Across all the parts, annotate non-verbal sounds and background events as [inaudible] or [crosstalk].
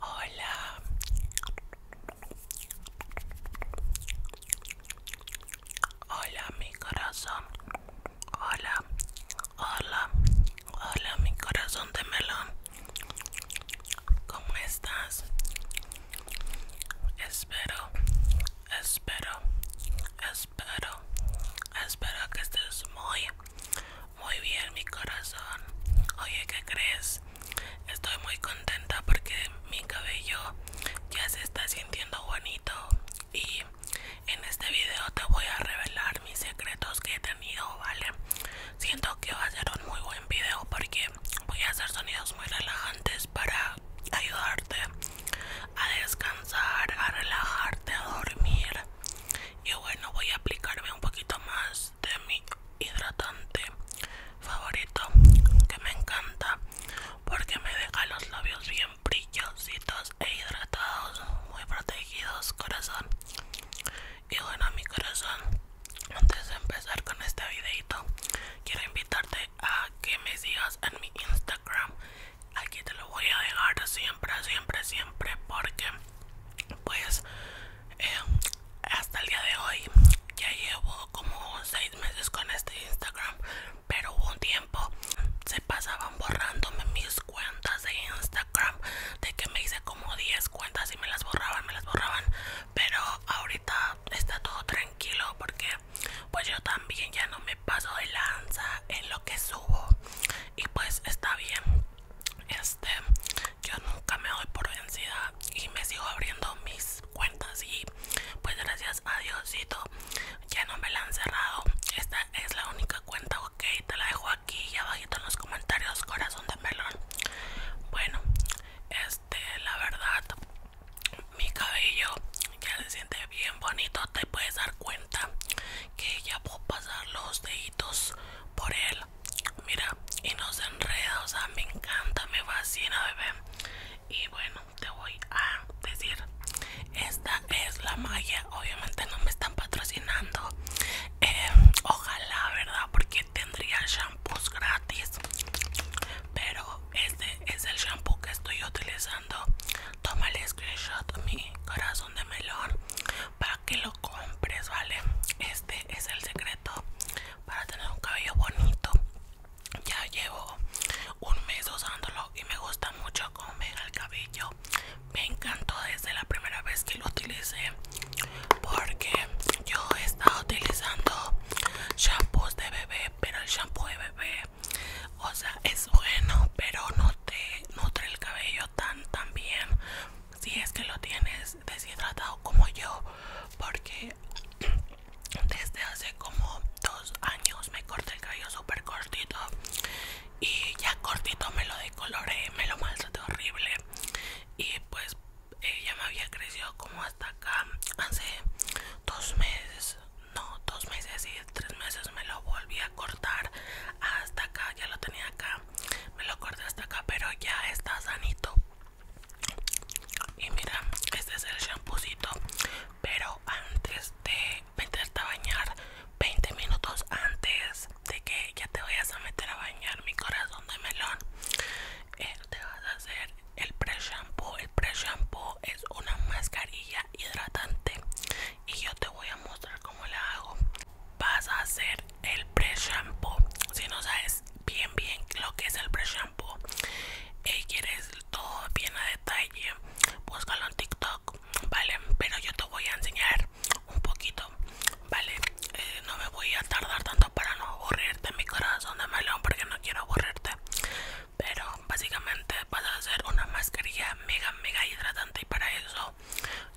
Hola. Hola mi corazón. Hola. Hola. Hola mi corazón de melón. ¿Cómo estás? Espero, espero, espero, espero que estés muy, muy bien, mi corazón. Oye, ¿qué crees? Estoy muy contenta porque mi cabello ya se está sintiendo bonito. Y en este video te voy a revelar mis secretos que he tenido, ¿vale? Siento que va a ser un muy buen video porque voy a hacer sonidos muy relajantes para ayudarte a descansar, a relajarte, a dormir y bueno voy a aplicarme un poquito más de mi hidratante favorito que me encanta porque me deja los labios bien brillositos e hidratados muy protegidos corazón y bueno mi corazón antes de empezar con este videito quiero invitarte a que me sigas en mi instagram aquí te lo voy a dejar siempre siempre siempre porque pues em, hasta el día de hoy ya llevo como 6 meses con este Instagram, pero hubo un tiempo se pasaban borrándome mis cuentas de Instagram, de que me hice como 10 cuentas y me las borraban, me las borraban, pero ahorita está todo tranquilo porque pues yo también ya no me paso de lanza en lo que subo y pues está bien este yo nunca me doy por vencida y me sigo abriendo mis cuentas y pues gracias a diosito ya no me la han cerrado esta es la única cuenta ok te la dejo aquí y abajito en los comentarios corazón de melón bueno este la verdad mi cabello ya se siente bien bonito te puedes dar cuenta que ya puedo pasar los deditos por él mira y no se enreda o sea me encanta me fascina bebé y bueno te voy a decir esta es la malla. obviamente no me están patrocinando em, ojalá verdad porque tendría shampoos gratis pero este es el shampoo que estoy utilizando toma el screenshot mi corazón de melón para que lo compres, ¿vale? Este es el secreto para tener un cabello bonito. Ya llevo un mes usándolo y me gusta mucho cómo me el cabello. Me encantó desde la primera vez que lo utilicé porque yo he estado utilizando shampoos de bebé, pero el shampoo de bebé o sea es bueno pero no te nutre el cabello tan tan bien si es que lo tienes deshidratado como yo porque [clears throat] desde hace como dos años me corté el cabello súper cortito y ya cortito me lo decoloré me lo maltraté horrible y pues eh, ya me había crecido como hasta acá hace dos meses no dos meses y tres meses me lo volví a cortar hasta acá ya lo tenía acá me lo corté hasta acá pero ya está sanito y mira este es el champucito pero antes de meterte a bañar 20 minutos antes de que ya te vayas a meter a bañar mi corazón de melón eh, te vas a hacer el pre shampoo el pre shampoo es una mascarilla hidratante y yo te voy a mostrar cómo la hago vas a hacer el pre si no sabes bien bien lo que es el pre shampoo y quieres todo bien a detalle búscalo en tiktok vale pero yo te voy a enseñar un poquito vale eh, no me voy a tardar tanto para no aburrirte mi corazón de melón porque no quiero aburrirte pero básicamente para hacer una mascarilla mega mega hidratante y para eso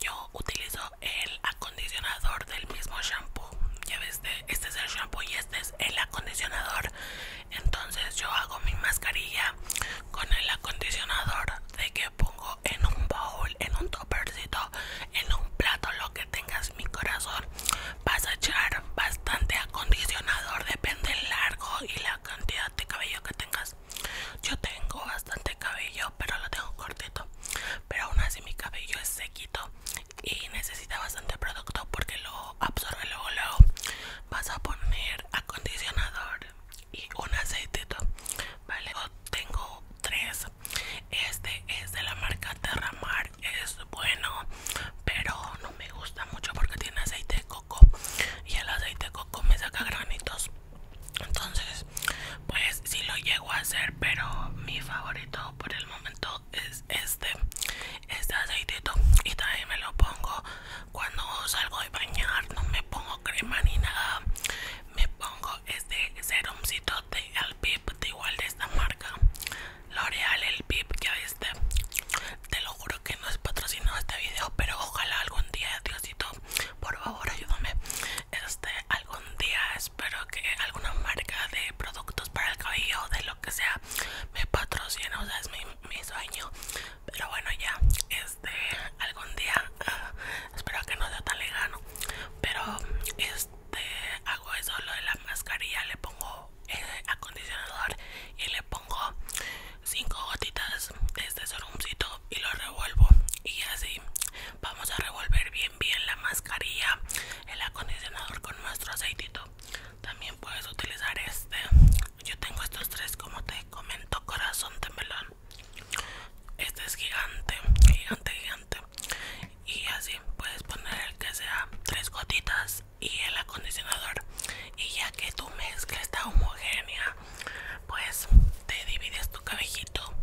yo utilizo el acondicionador del mismo shampoo ya ves este, este es el shampoo y este es el acondicionador entonces yo hago mi mascarilla con el acondicionador de que pongo en un bowl en un tuppercito en un plato lo que tengas mi corazón vas a echar bastante acondicionador depende el largo y la cantidad de cabello que tengas yo tengo bastante cabello, pero lo tengo cortito. Pero aún así mi cabello es sequito y necesita bastante producto porque lo absorbe luego. Luego vas a poner acondicionador y un aceitito. Vale, tengo tres. Este es de la marca Terramar, es bueno, pero no me gusta mucho porque tiene aceite y el aceite coco me saca granitos entonces pues si lo llego a hacer pero mi favorito por el momento es este este aceitito y también me lo pongo cuando salgo de bañar no me pongo crema ni nada me pongo este serumcito de Alpip de igual de esta marca L'Oreal el Pip ya este, te lo juro que no es patrocinado este video pero ojalá algún día diosito por favor ayúdame este algún día espero que alguna marca de productos para el cabello de lo que sea me patrocine o sea es mi, sueño pero bueno ya este algún día ah, espero que no sea tan lejano pero este hago eso lo de la mascarilla le pongo el eh, acondicionador y le pongo 5 gotitas de este sorumcito y lo revuelvo y así vamos a revolver bien bien la mascarilla el acondicionador con nuestro aceitito también puedes utilizar este yo tengo estos tres como te comento corazón de melón este es gigante gigante gigante y así puedes poner el que sea tres gotitas y el acondicionador y ya que tu mezcla está homogénea pues te divides tu cabellito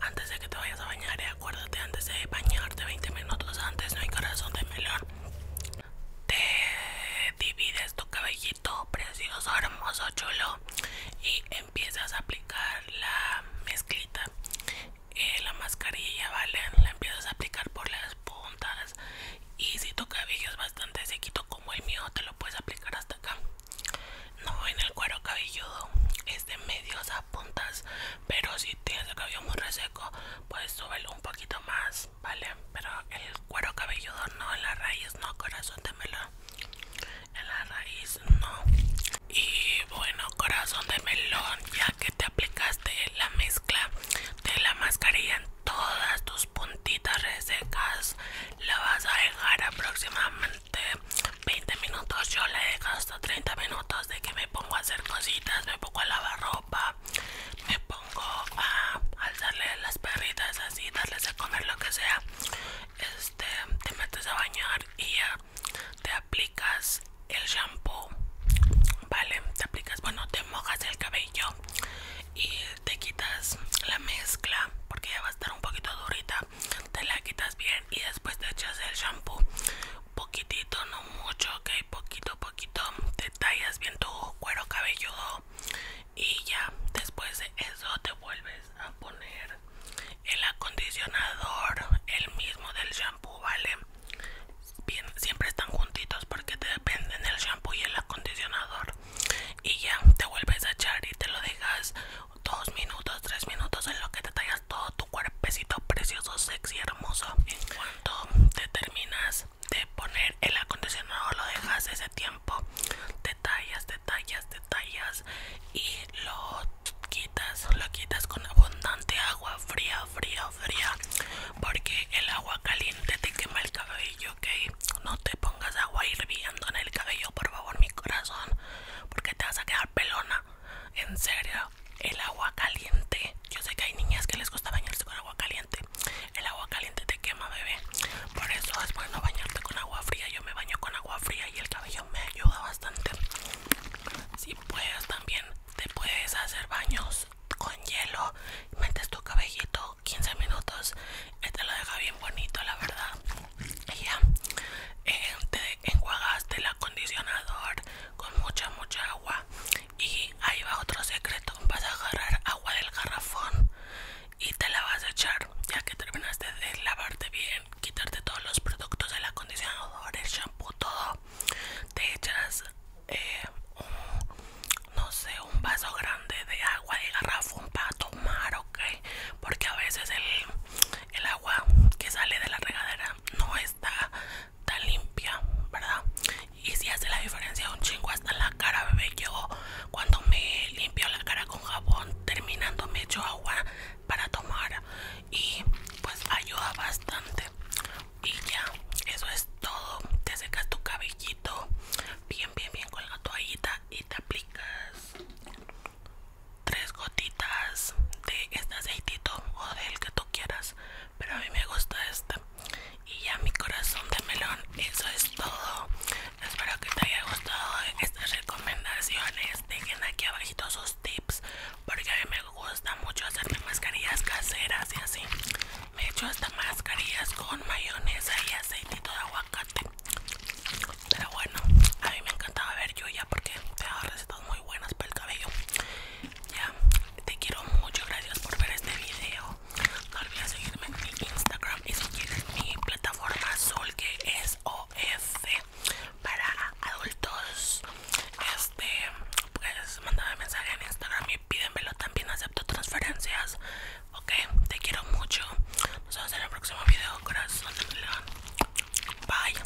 antes de que te vayas a bañar y acuérdate antes de bañarte 20 minutos antes no hay corazón de melón te divides tu cabellito precioso hermoso chulo y empiezas a aplicar la mezclita eh, la mascarilla vale la empiezas a aplicar por las puntas y si tu cabello es bastante sequito como el mío te lo puedes aplicar hasta acá no en el cuero cabelludo es de medios a puntas pero si tienes el cabello muy reseco Puedes súbelo un poquito más vale pero el cuero cabelludo no en la raíz no corazón de melón en la raíz no y bueno corazón de melón ya que te aplicaste la mezcla de la mascarilla todas tus puntitas resecas la vas a dejar aproximadamente 20 minutos yo le dejo hasta 30 minutos de que me pongo a hacer cositas me pongo a lavar ropa me pongo a alzarle las perritas así darles a comer lo que sea este te metes a bañar y te aplicas el shampoo vale te aplicas bueno te mojas el cabello y te quitas la mezcla porque ya va a estar un poquito durita te la quitas bien y después te echas el shampoo poquitito no mucho ok poquito poquito te tallas bien tu cuero cabelludo y ya después de eso te vuelves a poner el acondicionador el mismo del shampoo vale siempre están juntitos porque te dependen el shampoo y el acondicionador y ya te vuelves a echar y te lo dejas dos minutos, tres minutos en lo que te tallas todo tu cuerpecito precioso, sexy, hermoso. En cuanto te terminas de poner el acondicionador, lo dejas ese tiempo, te tallas, te tallas, te tallas y lo quitas, lo quitas con abundante agua fría, fría, fría porque el agua caliente te quema el cabello, ¿ok? No te pongas agua hirviendo en el cabello, por favor, mi corazón, porque te vas a quedar pelona. En serio, el agua caliente. Yo sé que hay niñas que les gusta bañarse con agua caliente. El agua caliente te quema, bebé. Por eso es bueno bañarte con agua fría. Yo me baño con agua fría y el cabello me ayuda bastante. Si puedes también te puedes hacer baños con hielo metes tu cabellito 15 minutos eh, te lo deja bien bonito la verdad y ya eh, te enjuagaste el acondicionador con mucha mucha agua y ahí va otro secreto vas a agarrar agua del garrafón y te la vas a echar ya que terminaste de lavarte bien quitarte todos los productos del acondicionador el shampoo todo te echas eh, no sé un vaso grande de agua de garrafón para tomar ok porque a veces el, agua que sale de la regadera no está tan limpia verdad y si hace la diferencia un chingo hasta la cara bebé yo cuando me limpio la cara con jabón terminando me echo agua para tomar y pues ayuda bastante y ya eso es todo te secas tu cabellito bien bien bien con la toallita y te aplicas tres gotitas de este aceitito o del que tú quieras pero a mí me gusta este y ya mi corazón de melón eso es todo espero que te haya gustado estas recomendaciones dejen aquí abajito sus tips porque a mí me gusta mucho hacerme mascarillas caseras y así me he hecho hasta mascarillas con mayonesa y aceitito de aguacate pero bueno a mí me encantaba ver yo ya porque te da recetas muy buenas para el cabello ya te quiero mucho gracias por ver este video no olvides seguirme en mi Instagram y si quieres mi plataforma Sol que es OF para adultos este pues mandame mensaje en instagram y pídenmelo también acepto transferencias ok te quiero mucho nos vemos en el próximo video corazón bye